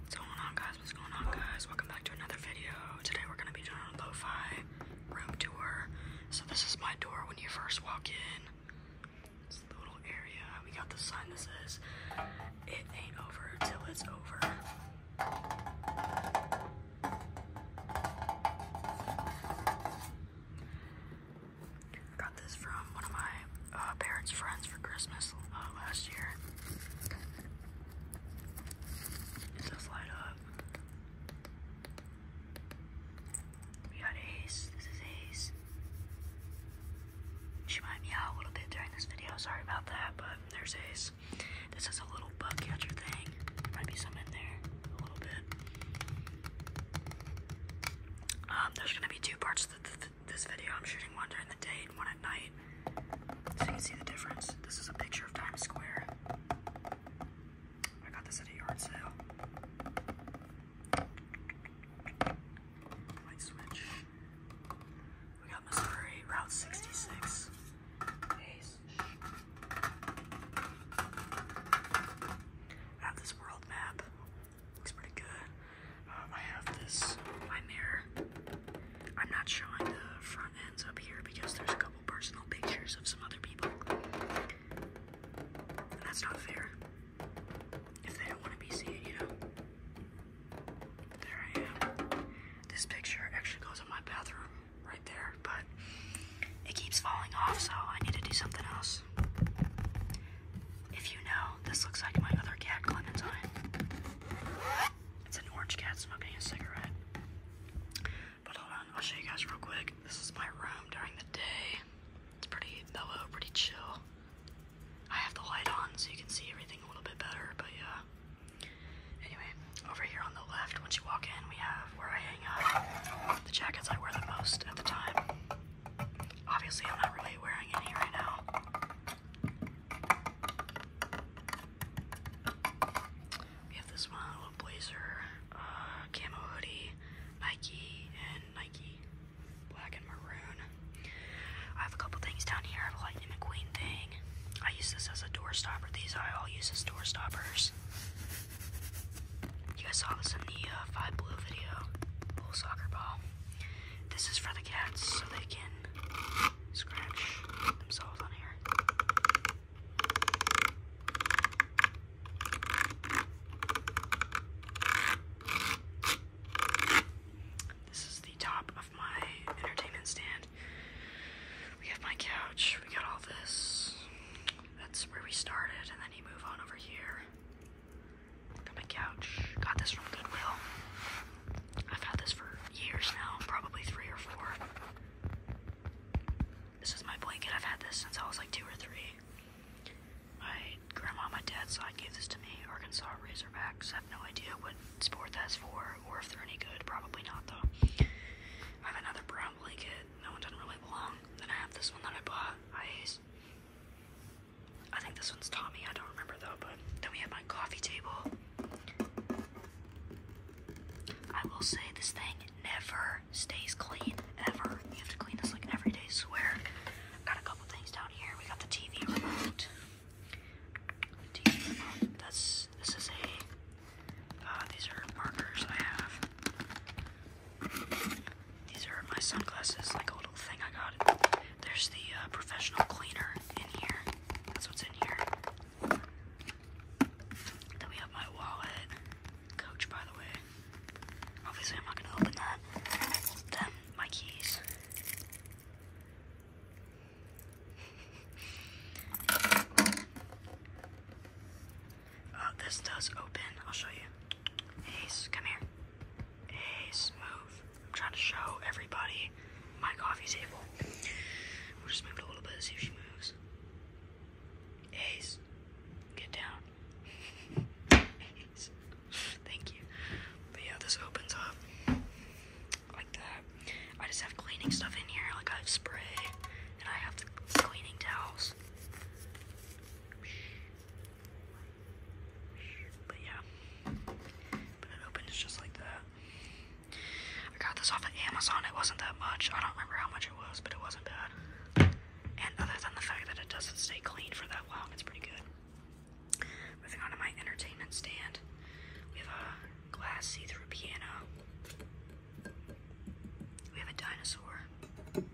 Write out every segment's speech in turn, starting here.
What's going on guys? What's going on guys? Welcome back to another video. Today we're gonna be doing a lo-fi room tour. So this is my door when you first walk in. It's the little area. We got the sign that says it ain't over it's over. got this from one of my uh, parents' friends for Christmas uh, last year. It does light up. We got Ace. This is Ace. She might meow a little bit during this video. Sorry about that, but there's Ace. This is a little bug thing. Might be some in there a little bit. Um, there's gonna be two parts this video I'm shooting one during the day and one at night. So you can see the difference. This is a picture of Times Square. I got this at a yard sale. Light switch. We got Missouri, Route 66. Ace. I have this world map. Looks pretty good. Uh, I have this mirror. I'm not showing the front ends up here because there's a couple personal pictures of some other people. And that's not fair. If they don't want to be seen, you know. there I am. This picture actually goes in my bathroom right there, but it keeps falling off, so I need to do something else. If you know, this looks like my other cat, Clementine. It's an orange cat smoking a cigarette. But hold on, I'll show you guys real quick. This is my room during the day. It's pretty mellow, pretty chill. I have the light on so you can see everything a little bit better, but yeah. Anyway, over here on the left, once you walk in, we have where I hang up the jackets I wear the most at the time. Obviously, I'm not really wearing any right now. We have this one little blazer, uh, camo hoodie, Nike, and Nike black and maroon. I have a couple things down here. I have a Lightning McQueen thing. I use this as a door stopper. These I all use as door stoppers. You guys saw this in the uh, Five Blue video. Little soccer ball. This is for the cats so they can scratch themselves on here. This is the top of my entertainment stand. We have my couch, we got all this. That's where we started, and then you move on over here my couch. Got this from Goodwill. I've had this for years now, probably three or four. This is my blanket. I've had this since I was like two or three. My grandma and my dad, dad's I gave this to me, Arkansas Razorbacks. I have no idea what sport that's for or if they're any good. Probably not, though. I have another brown blanket. No one doesn't really belong. Then I have this one that I bought. I I think this one's Tommy. I don't remember though. But then we have my coffee table. I will say this thing never stays clean ever. You have to clean this like every day. Swear. Got a couple things down here. We got the TV remote. That's this is a. Uh, these are markers I have. These are my sunglasses, like a little thing I got. There's the uh, professional cleaner in here. That's what's in here. Then we have my wallet. Coach, by the way. Obviously, I'm not gonna open that. Then my keys. Uh, this does open. I'll show you. Ace, come here a smooth. I'm trying to show everybody my coffee table. We'll just move it a little bit, see if she moves. Ace, get down. Ace. Thank you. But yeah, this opens up like that. I just have cleaning stuff in here, like I have spray and I have the cleaning towels. But yeah. But it opens just like that. I got this off of Amazon. It wasn't that much. I don't remember how much it was, but it wasn't bad. And other than the fact that it doesn't stay clean for that long, it's pretty good. Moving on to my entertainment stand. We have a glass see-through piano. We have a dinosaur. Then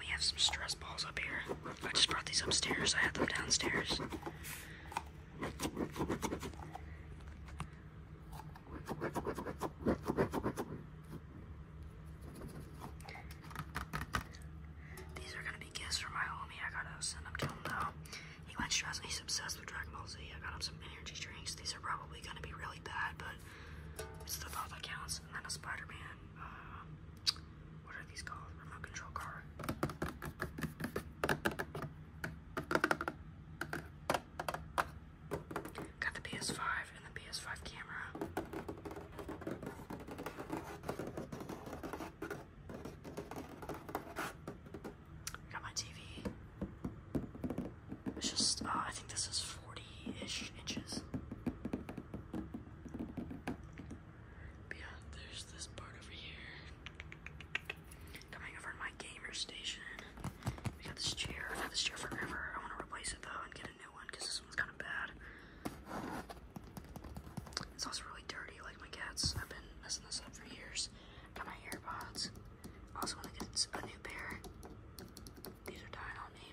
we have some stress balls up here. I just brought these upstairs. I had them downstairs. These are gonna be gifts for my homie. I gotta send them to him though. He went stressed. He's obsessed with Dragon Ball Z. I got him some energy drinks. These are probably gonna be really bad, but it's that counts. Miles, and then a Spider-Man. Uh, what are these called? Remote control car. Got the PS5 and the PS5 camera. Got my TV. It's just, uh, I think this is 40-ish inches. But yeah, there's this part over here. Coming over to my gamer station. We got this chair. I've had this chair forever. I want to replace it, though, and get a new one, because this one's kind of bad. It's also really dirty, like my cats. I've been messing this up for years. Got my AirPods. Also want to get a new pair. These are dying on me.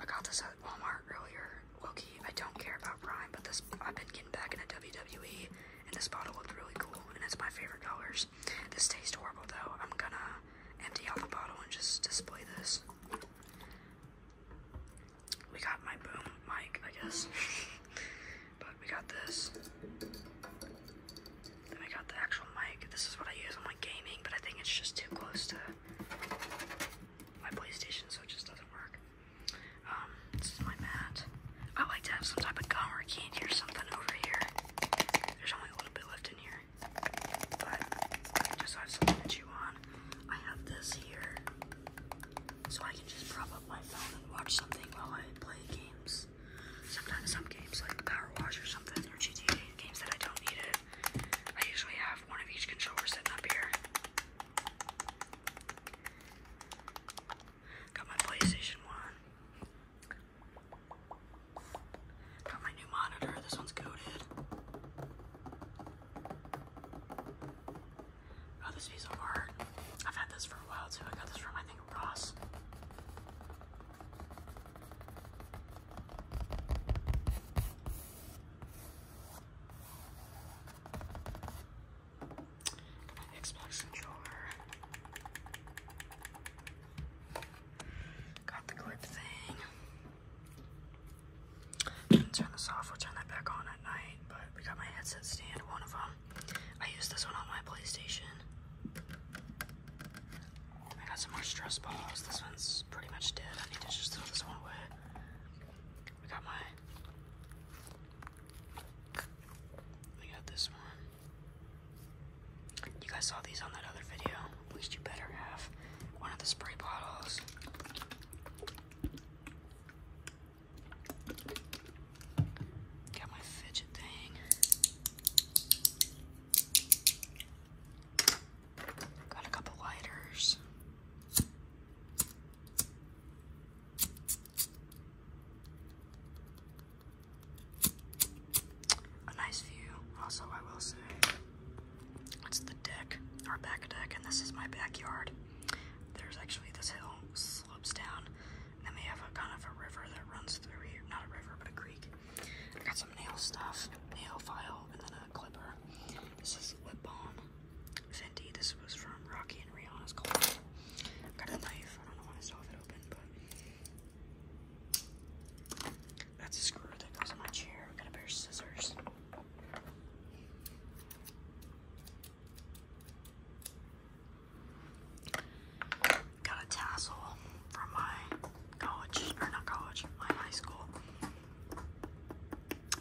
I got this at Walmart earlier. Loki, I don't care about Prime, but this I've been getting back into WWE, and this bottle looks really cool, and it's my favorite colors. This tastes horrible though. I'm gonna empty out the bottle and just display this. We got my boom mic, I guess. but we got this. Then I got the actual mic. This is what I use on my gaming, but I think it's just too close to my PlayStation, so it just doesn't work. Um, this is my mat. I like to have some type of gum or candy or something over here. There's only a little bit left in here, but I have something to chew on. I have this here, so I can just prop up my phone and watch something while I play games. Sometimes some games like Power or something or GTA games that I don't need it. I usually have one of each controller sitting up here. Got my PlayStation 1. Got my new monitor. This one's coated. Got oh, this piece of art. I've had this for a while too. I got this from, I think, Ross. Xbox controller. Got the clip thing. Didn't turn the software, turn that back on at night, but we got my headset stand, one of them. I use this one on my PlayStation. I got some more stress balls. This one's pretty much dead. I need to just throw this one away. I got my. I got this one. You guys saw these on that other video. At least you better have one of the spray bottles. Got my fidget thing. Got a couple lighters. A nice view, also, I will say. It's the deck, our back deck, and this is my backyard. There's actually this hill slopes down, and then we have a kind of a river that runs through here. Not a river, but a creek. I got some nail stuff, nail file, and then a clipper. This is lip balm, Fenty. This was from Rocky and Rihanna's collab. Got a knife. I don't know why I saw it open, but that's a screw that goes on my chair. Got a pair of scissors. Got a tassel from my college, or not college, my high school.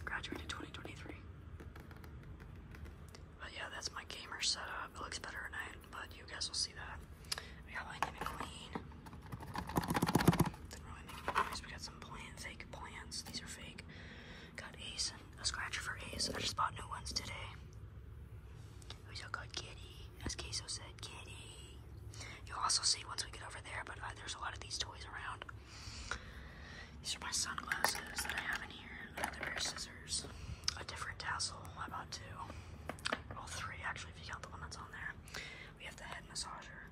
Graduated 2023. But yeah, that's my gamer setup. It looks better at night, but you guys will see that. We got my clean. Didn't really make any noise. We got some plant, fake plants. These are fake. Got Ace a scratcher for Ace. I just bought new ones today. We got Kitty as Queso said, kitty. You'll also see once we get over there, but uh, there's a lot of these toys around. These are my sunglasses that I have in here. Another pair of scissors. A different tassel. I bought two? Well, three, actually, if you count the one that's on there. We have the head massager.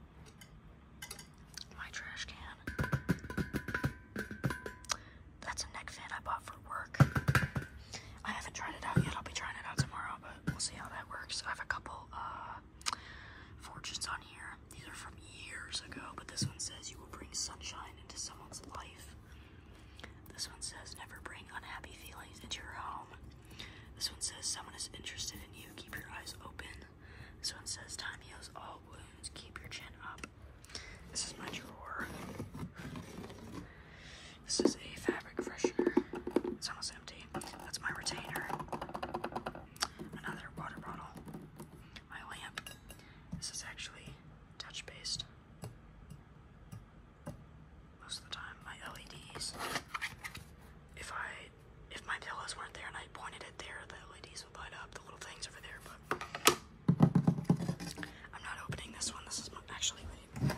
My trash can. That's a neck fan I bought for work. I haven't tried it out yet. I'll be trying it out tomorrow, but we'll see how that works. I have a couple uh, fortunes on here. These are from years ago, but this one says you will bring sunshine into someone's life. This one says never bring unhappy feelings into your home. This one says someone is interested in you. Keep your eyes open. This one says time heals all wounds. Keep your chin up. This is my drawer. This is a fabric freshener. It's almost empty. That's my retainer. Another water bottle. My lamp. This is actually touch based. Most of the time, my LEDs. If I if my pillows weren't there and I pointed it there, the LEDs would light up. The little things over there, but I'm not opening this one. This is actually, wait.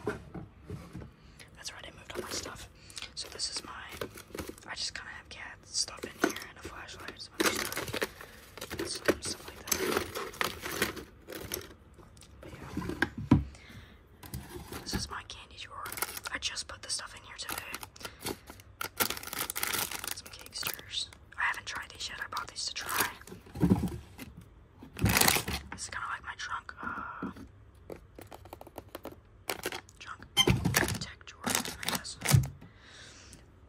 That's right, I moved all my stuff. So this is my, I just kind of have cat stuff in here and a flashlight and some other stuff. like that. But yeah. This is my candy drawer. I just put the stuff in here today. Some cake I haven't tried these yet. I bought these to try. This is kind of like my trunk. Uh, trunk. Tech drawer, I guess.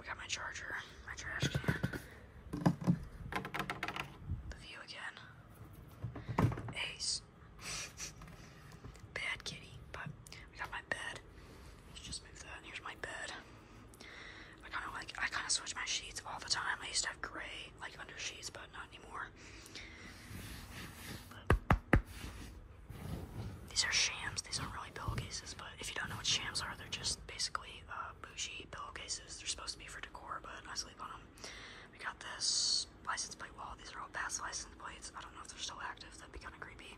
We got my charger, my trash can. The view again. Ace. Bad kitty, but we got my bed. Let's just move that. Here's my bed. I kind of like, I kind of switch my sheets all the time. I used to have gray, like under sheets, but not anymore. these are shams. These aren't really pillowcases, but if you don't know what shams are, they're just basically uh, bougie pillowcases. They're supposed to be for decor, but I sleep on them. We got this license plate wall. These are all past license plates. I don't know if they're still active. That'd be kind of creepy.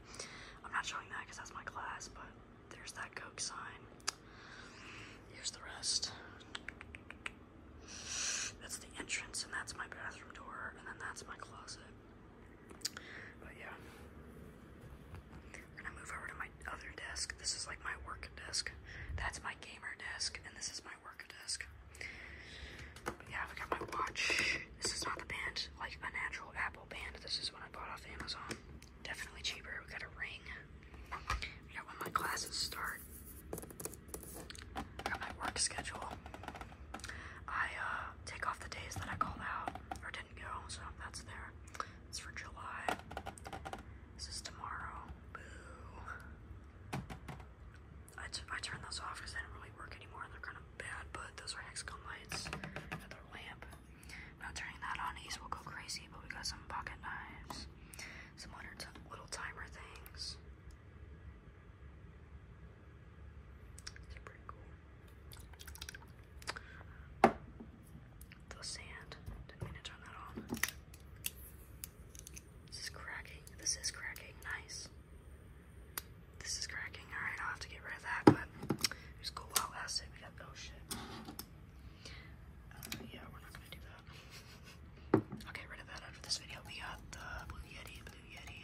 I'm not showing that because that's my class, but there's that Coke sign. Here's the rest. That's the entrance, and that's my bathroom door, and then that's my closet. But yeah. I'm gonna move over to my other desk. This is like my work desk. That's my gamer desk, and this is my work desk. yeah, I have got my watch. This is not the band, like a natural Apple band. This is one I bought off Amazon. Definitely cheaper. We got a ring. We got when my classes start. I got my work schedule. I uh, take off the days that I called out or didn't go, so that's there. It's for July. This is tomorrow. Boo. I, I turned those off because they didn't really work anymore. They're kind of bad, but those are hexagon lights. Another lamp. Now turning that on, he's will go crazy, but we got some pocket knives, some little timer things. they cool. The sand. Didn't mean to turn that on. This is cracking. This is cracking. Nice. This is cracking. Alright, I'll have to get rid of that, but just go out acid. We got oh shit. Uh, yeah, we're not gonna do that. I'll get rid of that after this video. We got the Blue Yeti, Blue Yeti.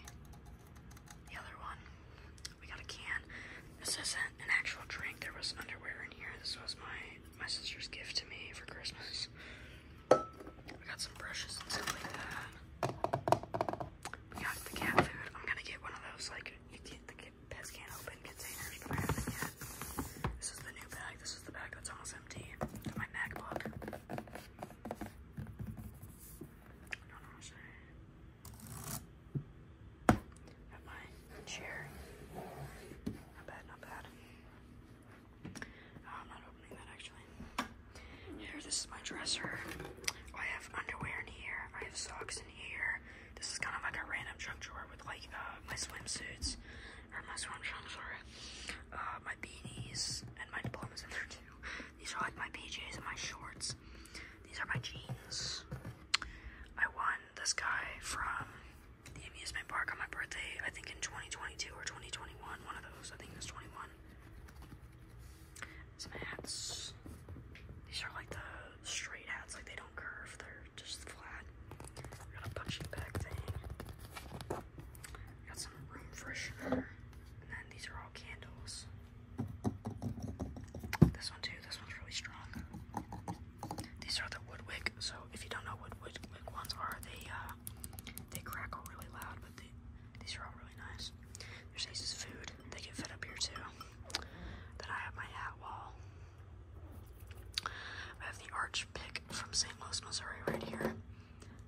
The other one. We got a can. This isn't an actual drink. There was underwear in here. This was my my sister's gift to me for Christmas. We got some brushes and stuff like that. We got the cat food. I'm gonna get one of those like you the this is the new bag. This is the bag that's almost empty. my MacBook. I don't Not bad, not bad. Oh, I'm not opening that actually. Here, this is my dresser. I have underwear in here. I have socks in here. This is kind of like a random trunk drawer with like uh, my swimsuits, or my swim trunks, or uh, my beanies, and my diplomas in there too. These are like my PJs and my shorts. These are my jeans. I won this guy from the amusement park on my birthday, I think in 2022 or 2021, one of those. I think it was 21. Some hats. These are like the straight hats, like they don't curve, they're just flat. We got a punching bag thing. We got some room freshener. And then these are all candles. This one too, this one's really strong. These are the woodwick, so if you don't know what woodwick ones are, they uh, they crackle really loud, but they, these are all really nice. There's Ace's food. They can fit up here too. Then I have my hat wall. I have the arch pick from St. Louis, Missouri, right here.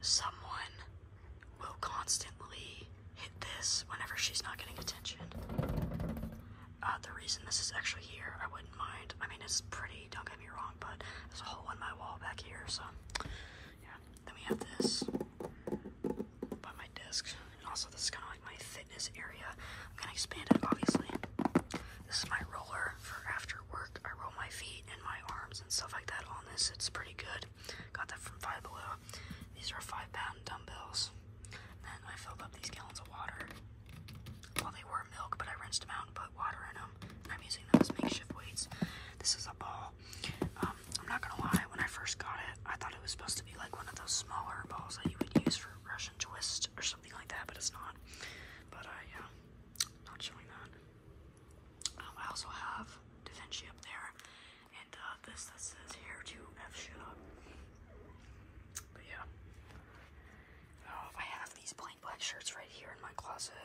Someone will constantly hit this whenever she's not getting attention. Uh, the reason this is actually here, I wouldn't mind. I mean, it's pretty, don't get me wrong, but there's a hole in my wall back here, so yeah. Then we have this by my desk, and also this is kind of like my fitness area. I'm gonna expand it, obviously. This is my roller for after work. I roll my feet and my arms and stuff like that on this. It's pretty good. Got that from Five Below. These are five pound dumbbells. And I filled up these gallons of water. Well, they were milk, but I rinsed them out and put water in them. I'm using those makeshift weights. This is a ball. Um, I'm not gonna lie. When I first got it, I thought it was supposed to be like one of those small balls that you would use for Russian twist or something like that, but it's not. But I uh, not showing that. Um, I also have Da Vinci up there, and uh, this that says here to F shit up. But yeah. Oh, I have these plain black shirts right here in my closet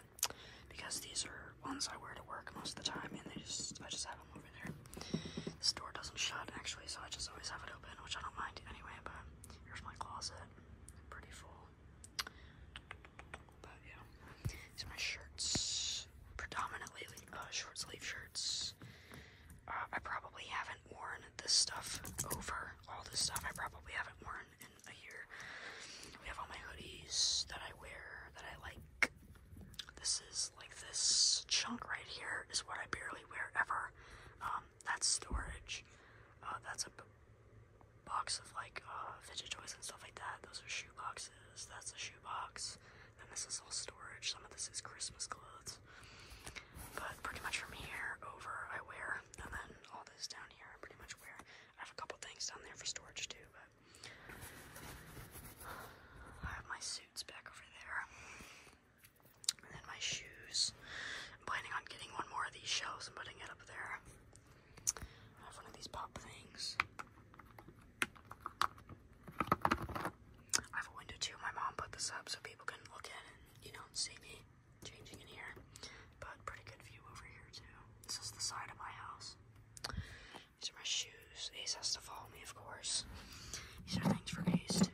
because these are ones I wear to work most of the time, and they just I just over there. This door doesn't shut actually, so I just always have it open, which I don't mind anyway. But here's my closet, pretty full. But yeah, these are my shirts, predominantly uh, short sleeve shirts. Uh, I probably haven't worn this stuff over all this stuff. I probably haven't worn in a year. We have all my hoodies that I wear that I like. This is like this chunk right here is what I barely wear ever. Um, that's storage. Uh, that's a box of like uh, fidget toys and stuff like that. Those are shoe boxes. That's a shoe box. And this is all storage. Some of this is Christmas clothes. But pretty much from here over, I wear. And then all this down here, I pretty much wear. I have a couple things down there for storage too, but I have my suits back over there. And then my shoes. I'm planning on getting one more of these shelves and putting it up there. I have one of these pop things. I have a window too. My mom put this up so people can look in and, you don't see me changing in here. But pretty good view over here too. This is the side of my house. These are my shoes. Ace has to follow me, of course. These are things for Ace to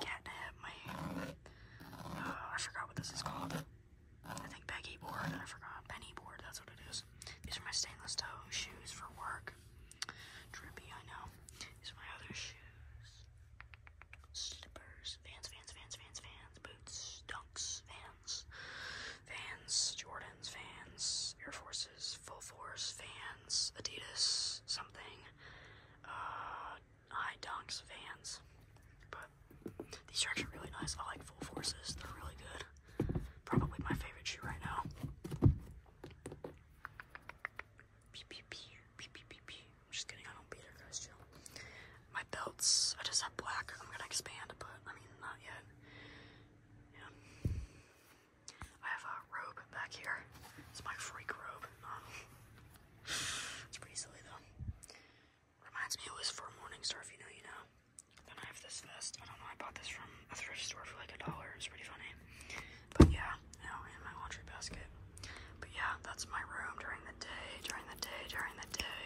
catnap my. Uh, I forgot what this is called. I think Peggy board. I forgot penny board. That's what it is. These are my stainless toe shoes for work. Drippy, I know. These are my other shoes. Slippers, Vans, Vans, Vans, Vans, Vans, boots, dunks, Vans. Vans, Jordans, Vans, Air Forces, Full Force, Vans, Adidas, something, uh, High Dunks, Vans. But these are actually really nice. I like Full Forces, they're really good. Probably my favorite shoe right now. Beep, beep, beep, beep, beep, beep, beep. I'm just kidding, I don't beat her, guys, chill. My belts, I just have black. I'm gonna expand, but I mean, not yet. Yeah. I have a robe back here. It's my freak robe. Um, it's pretty silly though. Reminds me it was for Morningstar, if you know, you know. Then I have this vest. I don't know, I bought this from a thrift store for like a dollar. It's pretty funny. But yeah, you in my laundry basket. But yeah, that's my room during the day, during the day, during the day.